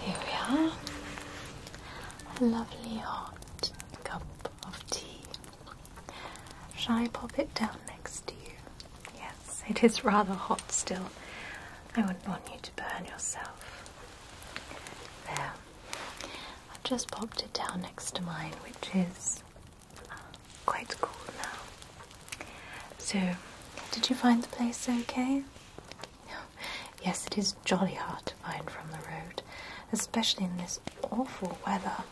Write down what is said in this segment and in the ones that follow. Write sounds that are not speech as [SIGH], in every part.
here we are. A lovely hot cup of tea Shall I pop it down next to you? Yes, it is rather hot still. I wouldn't want you to burn yourself. There. I've just popped it down next to mine, which is uh, quite cool now. So, did you find the place okay? [LAUGHS] Yes, it is jolly hard to find from the road, especially in this awful weather.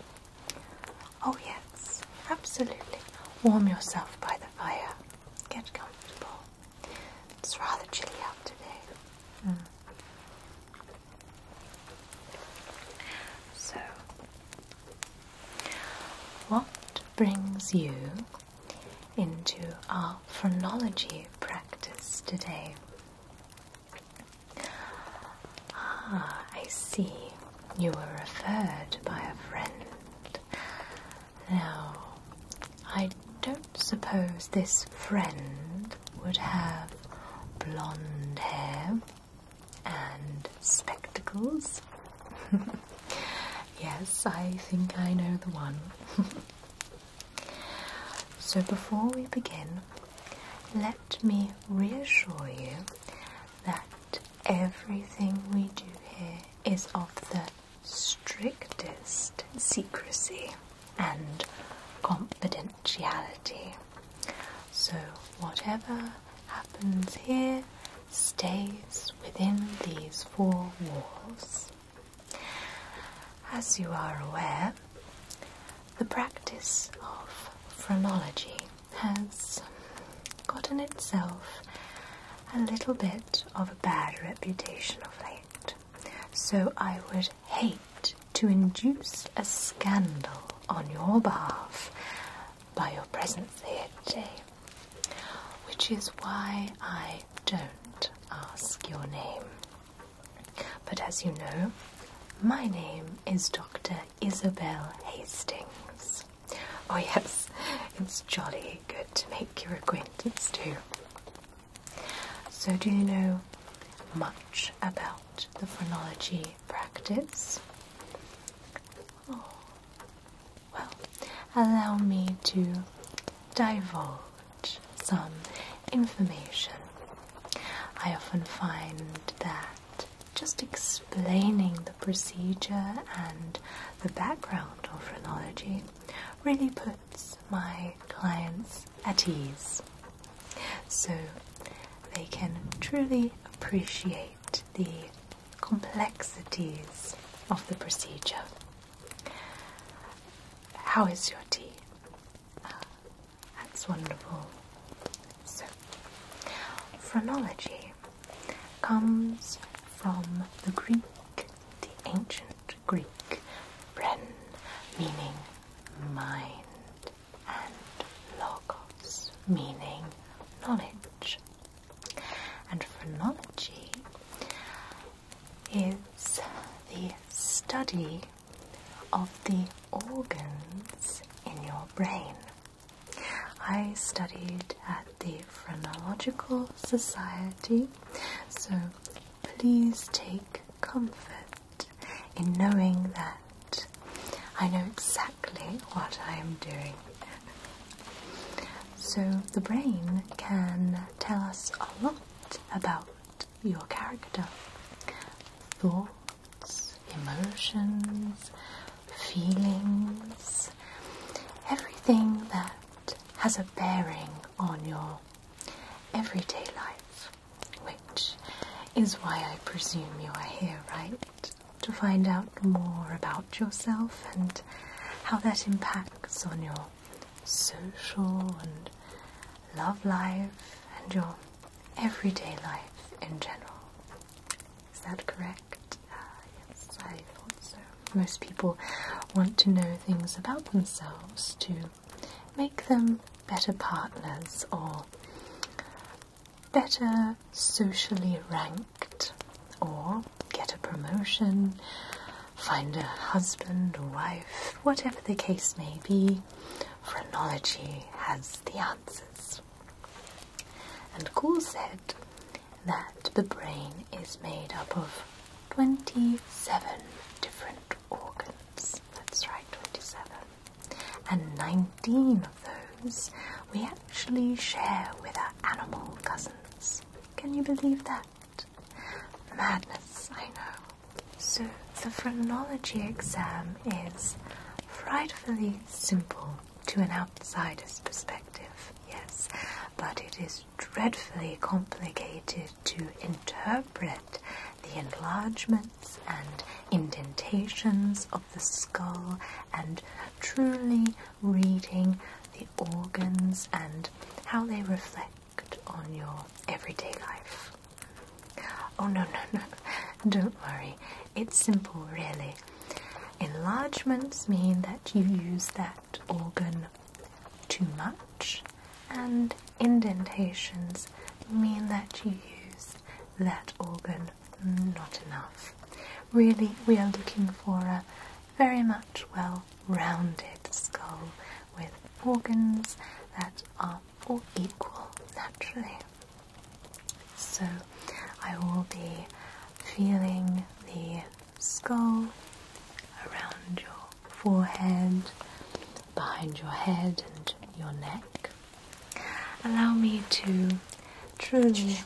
Oh, yes, absolutely. Warm yourself by the fire. Get comfortable. It's rather chilly out today. Hmm. So, what brings you into our phrenology practice today? Ah, I see. You were referred by a friend. Now, I don't suppose this friend would have blonde hair and spectacles. [LAUGHS] yes, I think I know the one. [LAUGHS] so, before we begin, let me reassure you that everything we do here is of the strictest secrecy and confidentiality. So, whatever happens here stays within these four walls. As you are aware, the practice of phrenology has gotten itself a little bit of a bad reputation of late. So I would hate to induce a scandal on your behalf by your presence here today, which is why I don't ask your name. But as you know, my name is Dr. Isabel Hastings. Oh, yes, it's jolly good to make your acquaintance too. So, do you know much about the phrenology practice? Oh, well, allow me to divulge some information. I often find that just explaining the procedure and the background of phrenology really puts my clients at ease so they can truly appreciate the complexities of the procedure. How is your tea? Ah, that's wonderful. So, phrenology comes from the Greek, the ancient Greek, Bren, meaning mind, and Logos, meaning knowledge. And phrenology is the study of the organs in your brain. I studied at the Phrenological Society, so please take comfort in knowing that I know exactly what I am doing. So, the brain can tell us a lot about your character. Thoughts emotions, feelings, everything that has a bearing on your everyday life, which is why I presume you are here, right? To find out more about yourself and how that impacts on your social and love life and your everyday life in general. Is that correct? Ah, yes, I thought so. Most people want to know things about themselves to make them better partners or better socially ranked or get a promotion, find a husband or wife, whatever the case may be. Phrenology has the answers. And Cool said that the brain is made up of 27 different organs. That's right, 27. And 19 of those we actually share with our animal cousins. Can you believe that? Madness, I know. So the phrenology exam is frightfully simple to an outsider's perspective, yes, but it is dreadfully complicated to interpret the enlargements and indentations of the skull and truly reading the organs and how they reflect on your everyday life. Oh, no, no, no, don't worry. It's simple, really. Enlargements mean that you use that organ too much, and indentations mean that you use that organ not enough. Really, we are looking for a very much well rounded skull with organs that are all equal naturally. So I will be feeling the skull around your forehead, behind your head, and your neck. Allow me to truly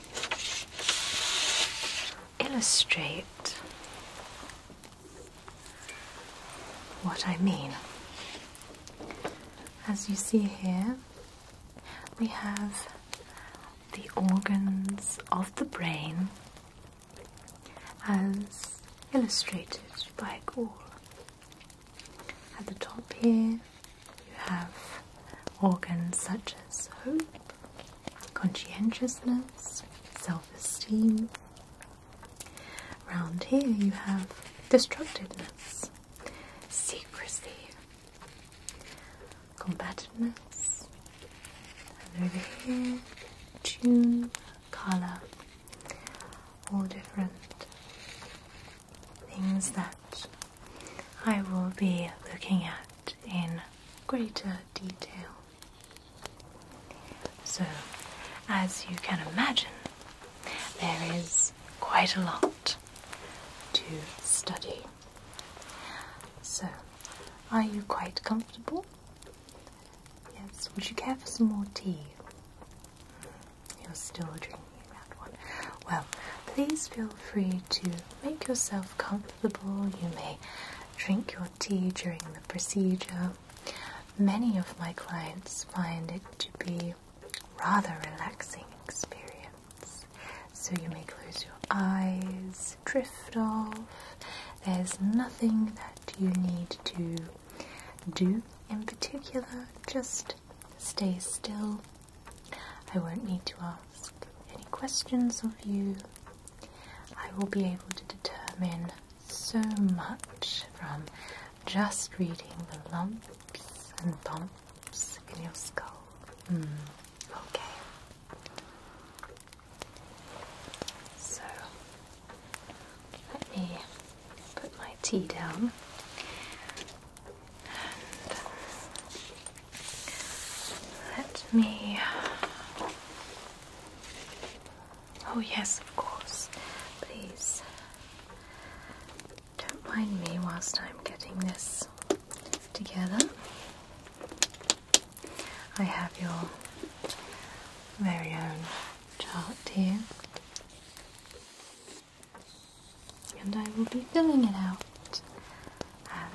illustrate what I mean. As you see here, we have the organs of the brain as illustrated by Gaul. At the top here, you have organs such as hope, conscientiousness, self esteem. Around here, you have destructiveness, secrecy, combativeness, and over here, tune, colour, all different things that I will be looking at in greater detail. So, as you can imagine, there is quite a lot to study. So, are you quite comfortable? Yes, would you care for some more tea? You're still drinking that one. Well, please feel free to make yourself comfortable. You may drink your tea during the procedure. Many of my clients find it to be rather relaxing experience. So you may close your eyes, drift off. There's nothing that you need to do in particular, just stay still. I won't need to ask any questions of you. I will be able to determine so much from just reading the lumps and bumps in your skull. Hmm. Okay. So let me put my tea down let me. Oh, yes, of course. Please don't mind me whilst I'm getting this together. I have your very own chart here, and I will be filling it out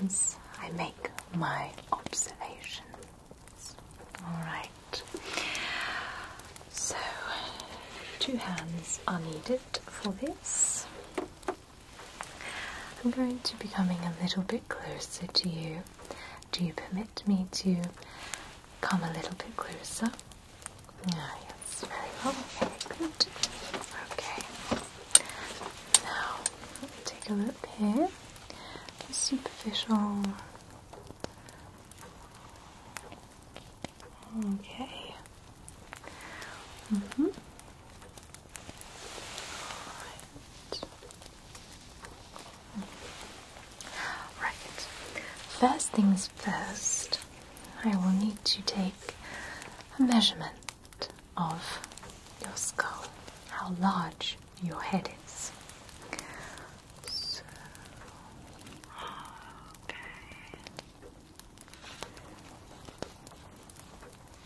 as I make my observations. Alright, so two hands are needed for this. I'm going to be coming a little bit closer to you. Do you permit me to come a little bit closer? Ah, yes, very well, very good. Okay. Now, let me take a look here. superficial. Okay. Mm hmm Right. First things first, I will need to take a measurement of your skull, how large your head is. okay.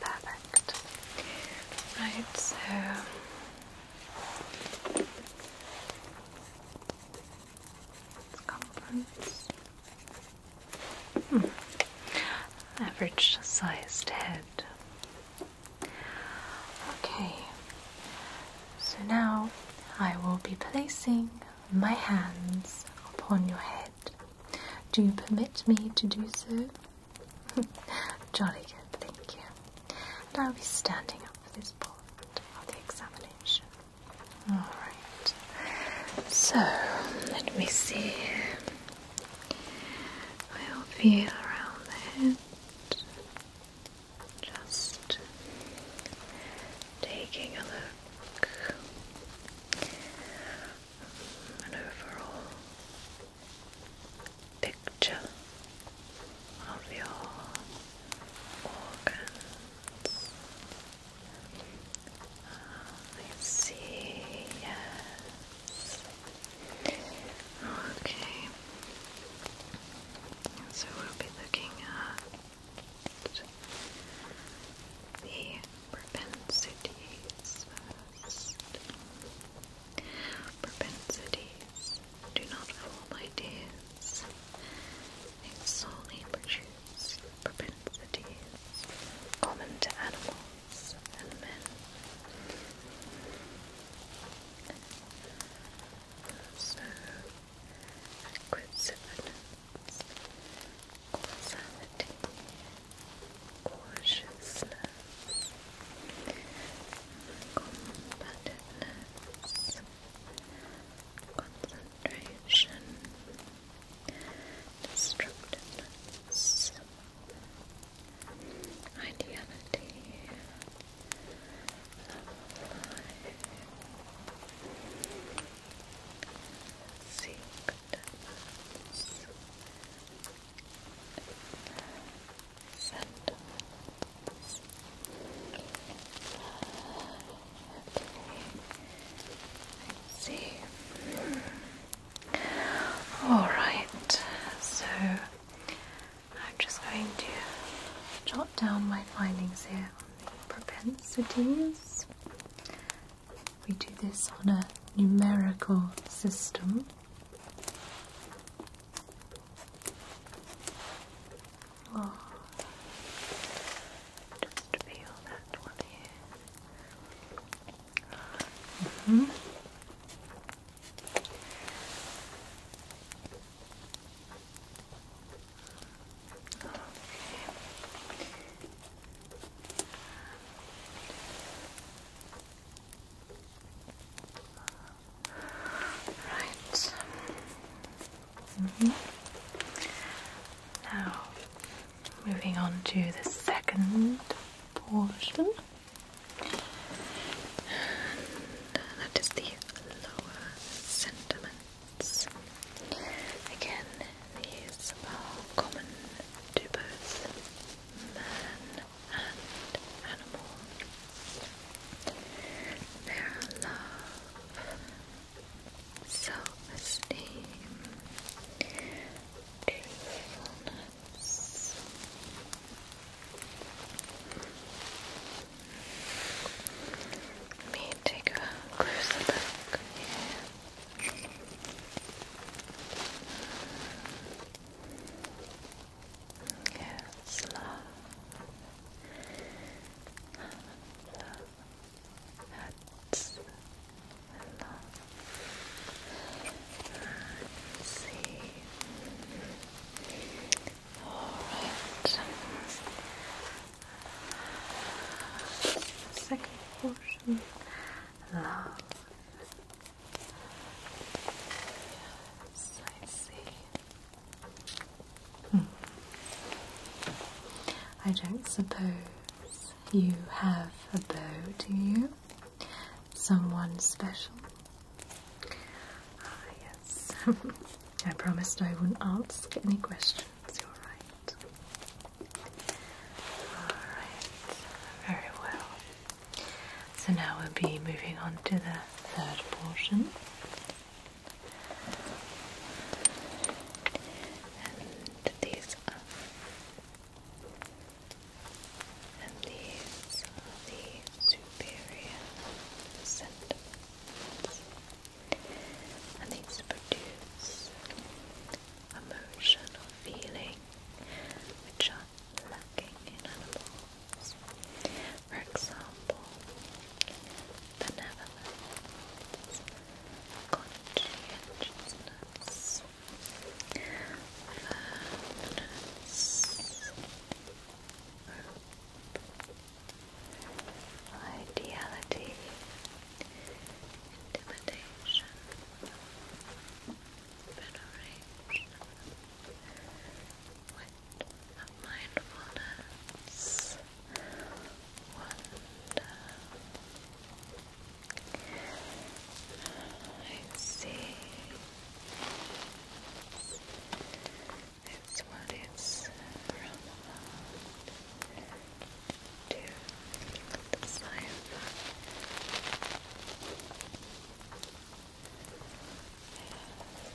Perfect. Right, so circumference. Mm. Average sized head. Okay, so now I will be placing my hands upon your head. Do you permit me to do so? [LAUGHS] Jolly good, thank you. And I'll be standing up for this part of the examination. Alright, so let me see. I'll feel around the head. Just taking a look, an overall picture of your organs. Oh, I see, yes. Okay. So we'll be looking at the propensities Propensities do not form ideas. They solely produce propensities common to animals and men. So, acquisitiveness, causality, cautiousness, combativeness, concentration, destructiveness, ideality, love of all right. So I'm just going to jot down my findings here on the propensities. We do this on a numerical system. Oh. Just feel that one here. -hmm. Right. Mm-hmm. Now, moving on to the second portion. that is the lower sentiments. Again, these are common to both man and animal. Their love, self-esteem, truthfulness. Let me take a closer look Yes, love. love. That's enough. see. Alright. Second portion. Love. Yes, I see. I don't suppose you have a beau, do you? Someone special? Ah, yes. [LAUGHS] I promised I wouldn't ask any questions. You're right. All right. Very well. So now we'll be moving on to the third portion. And these are and these are the superior sentiments. And these produce emotion feeling which are lacking in animals. For example, benevolence, conscientiousness, firmness, hope, ideality, intimidation, veneration, of mindfulness. Wonderful. I see. It's, it's what it's from to the side.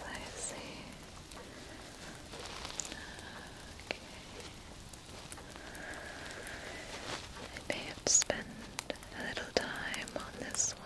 I see. Okay. I may have to spend a little time on this one.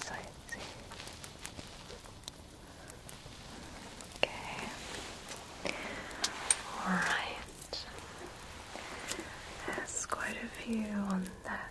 So let Okay. Alright. There's quite a few on that.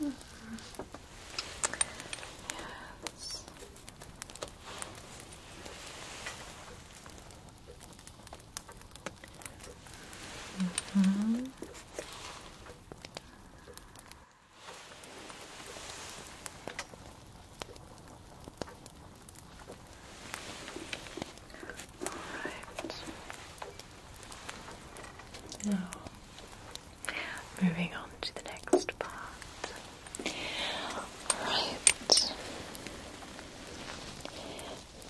Mm -hmm. Yes. Mm -hmm. Alright. Now, moving on to the next part. Alright.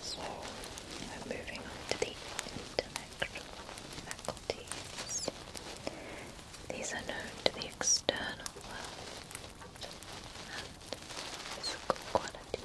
So, we're moving on to the intellectual faculties. These are known to the external world and physical qualities.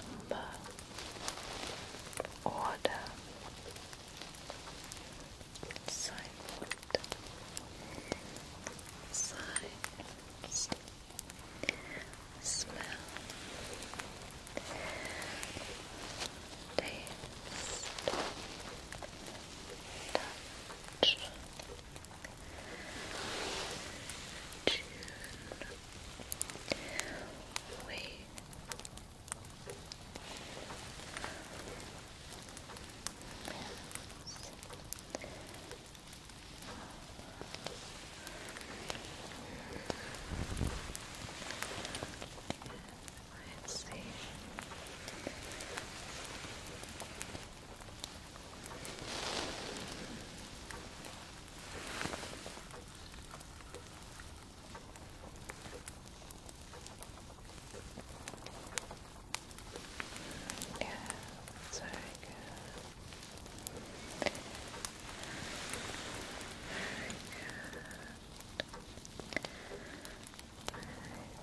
number, order, signboard, signs, smell, taste, touch, tune, Wait. Let's see. Okay. Yeah, that's good. good.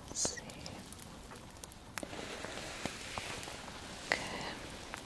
let see. Okay.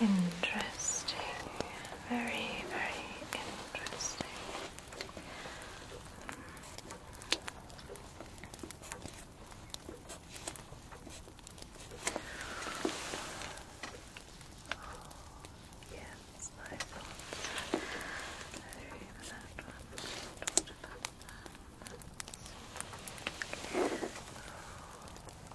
Interesting. Very, very interesting. Yes, I thought very that one talked about that.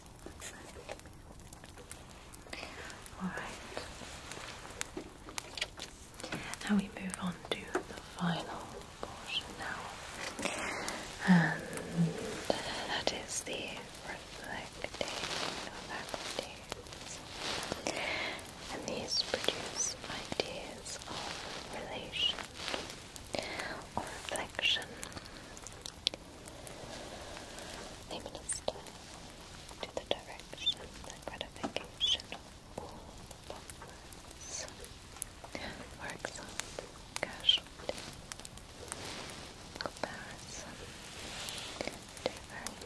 That's Now we move on to the final portion now. And that is the reflective faculties. And these produce ideas of relation or reflection I'm going to the direction, the gratification of all the buffers. For example, casualty, comparison, two very important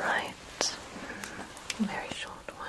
Right, mm, very short one.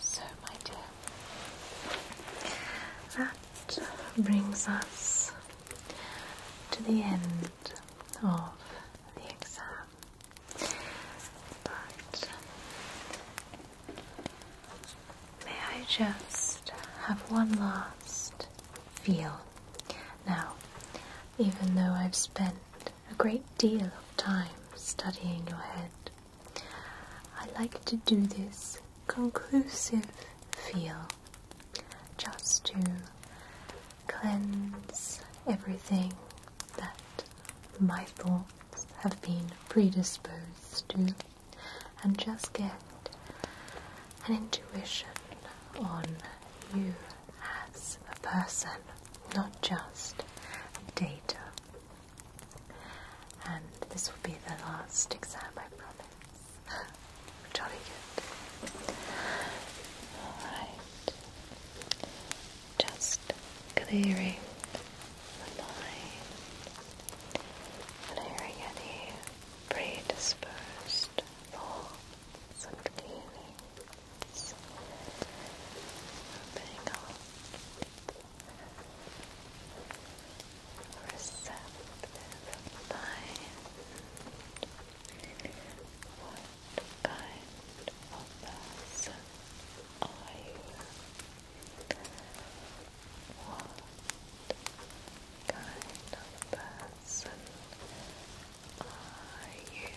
So, my dear, that brings us to the end of the exam. But may I just have one last feel? Now, even though I've spent a great deal of time studying your head. I like to do this conclusive feel just to cleanse everything that my thoughts have been predisposed to and just get an intuition on you as a person, not just data. And this will be the last exam, I promise. [LAUGHS] Jolly good. Alright. Just clearing the mind, clearing any predisposed thoughts and feelings eyes. What kind of person are you? What kind of person are you? Are you? Are you?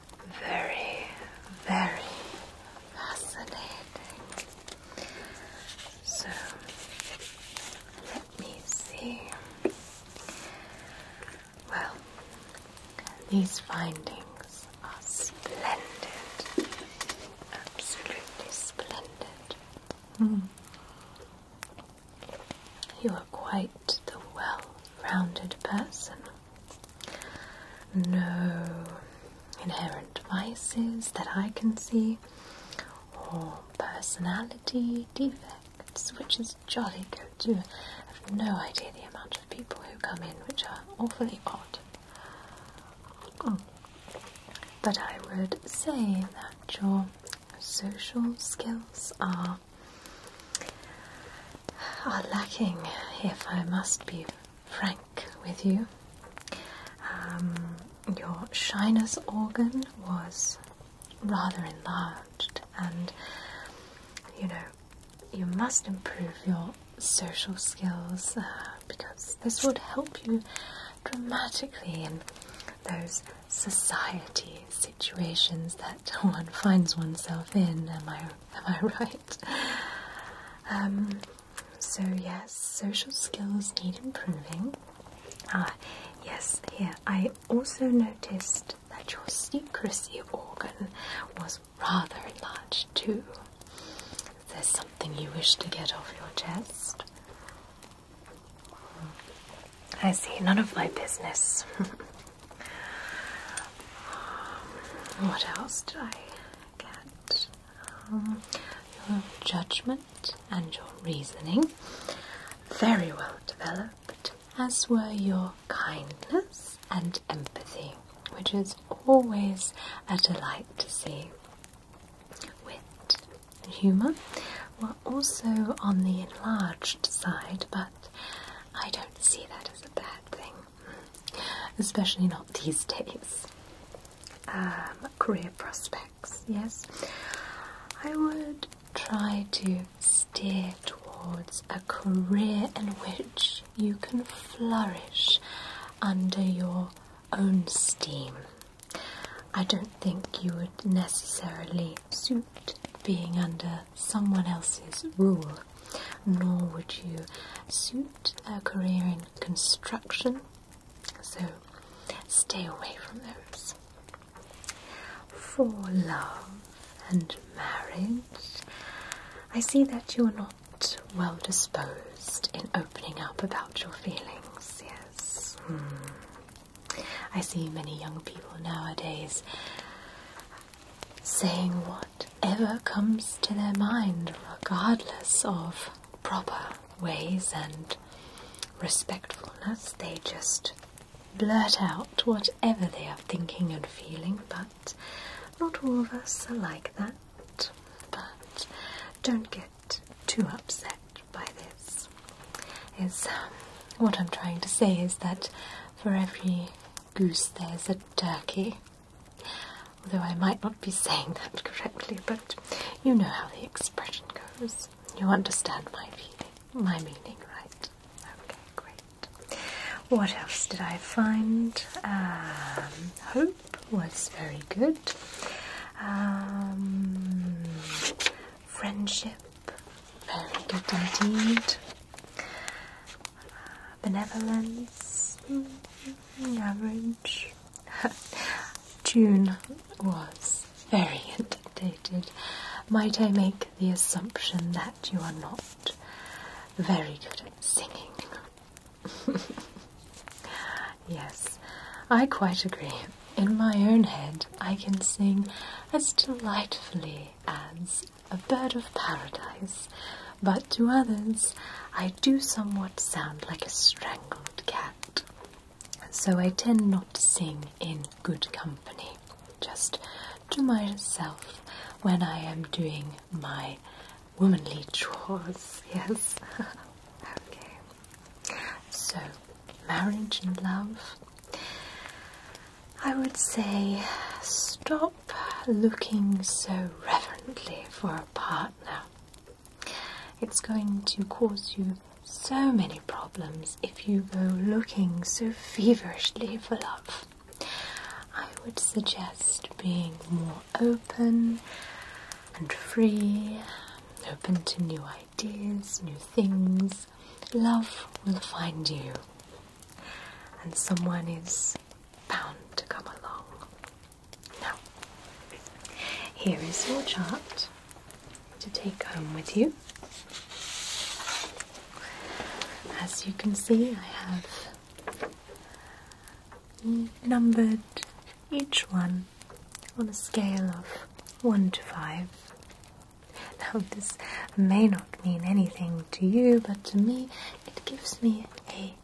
very, very fascinating. So let me see. Well, these findings are splendid, absolutely splendid. You are quite the well rounded person no inherent vices that I can see, or personality defects, which is jolly good too. I've no idea the amount of people who come in, which are awfully odd. Hmm. But I would say that your social skills are are lacking, if I must be frank with you. Um, your shyness organ was rather enlarged, and you know, you must improve your social skills uh, because this would help you dramatically in those society situations that [LAUGHS] one finds oneself in. Am I am I [LAUGHS] right? Um, so, yes, social skills need improving. Ah, yes, here. I also noticed that your secrecy organ was rather large too. Is there something you wish to get off your chest? Hmm. I see, none of my business. [LAUGHS] what else did I get? Um, your judgment and your reasoning very well developed, as were your kindness and empathy, which is always a delight to see. Wit and humour were also on the enlarged side, but I don't see that as a bad thing especially not these days. Um, career prospects, yes. I would try to steer towards a career in which you can flourish under your own steam. I don't think you would necessarily suit being under someone else's rule, nor would you suit a career in construction, so stay away from those. For love and marriage, I see that you are not well disposed in opening up about your feelings, yes. Hmm. I see many young people nowadays saying what whatever comes to their mind, regardless of proper ways and respectfulness. They just blurt out whatever they are thinking and feeling, but not all of us are like that. But don't get too upset by this. Is um, what I'm trying to say is that for every goose there's a turkey. Although I might not be saying that correctly, but you know how the expression goes. You understand my feeling, my meaning, right? Okay, great. What else did I find? Um, hope was very good. Um, friendship, very good indeed benevolence, mm-hmm. average. [LAUGHS] June was very indented. [LAUGHS] Might I make the assumption that you are not very good at singing? [LAUGHS] yes, I quite agree. In my own head, I can sing as delightfully as a bird of paradise but to others I do somewhat sound like a strangled cat. So I tend not to sing in good company, just to myself when I am doing my womanly chores, [LAUGHS] yes. okay. So, marriage and love. I would say stop looking so reverently for partner. It's going to cause you so many problems if you go looking so feverishly for love. I would suggest being more open and free, open to new ideas, new things. Love will find you, and someone is bound to come along. Now, here is your chart to take home with you. As you can see, I have numbered each one on a scale of 1 to 5. Now, this may not mean anything to you, but to me, it gives me a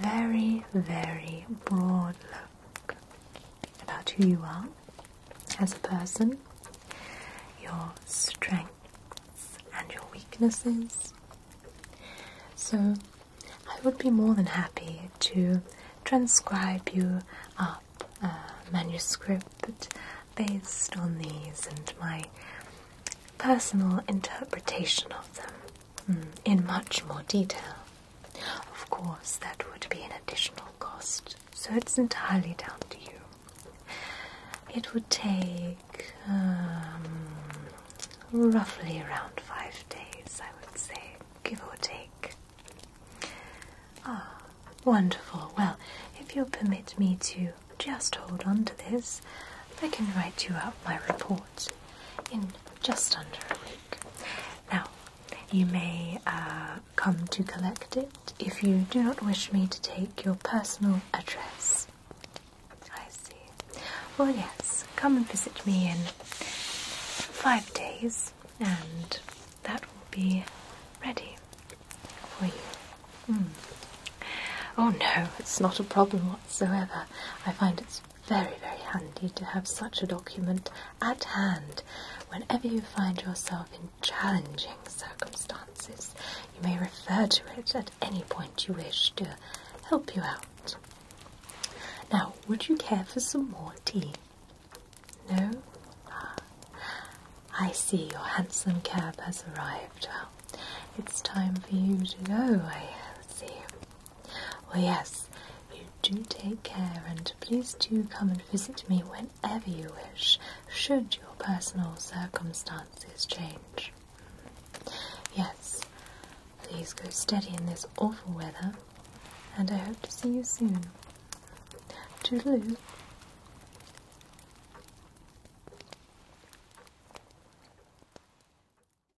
very, very broad look about who you are as a person, your strengths and your weaknesses. So, I would be more than happy to transcribe you a manuscript based on these and my personal interpretation of them. Hmm, in much more detail. Of course, that would be an additional cost, so it's entirely down to you. It would take um, roughly around five days, I would say, give or take. Ah, wonderful. Well, if you'll permit me to just hold on to this, I can write you out my report in just under a week. Now, you may uh, come to collect it if you do not wish me to take your personal address. I see. Well, yes, come and visit me in five days, and that will be ready for you. Hmm. Oh no, it's not a problem whatsoever. I find it's very, very handy to have such a document at hand whenever you find yourself in challenging circumstances. You may refer to it at any point you wish to help you out. Now, would you care for some more tea? No? Ah, I see your handsome cab has arrived. it's time for you to go, I see. Well, yes, you do take care, and please do come and visit me whenever you wish, should your personal circumstances change. Yes, please go steady in this awful weather, and I hope to see you soon. Toodaloo.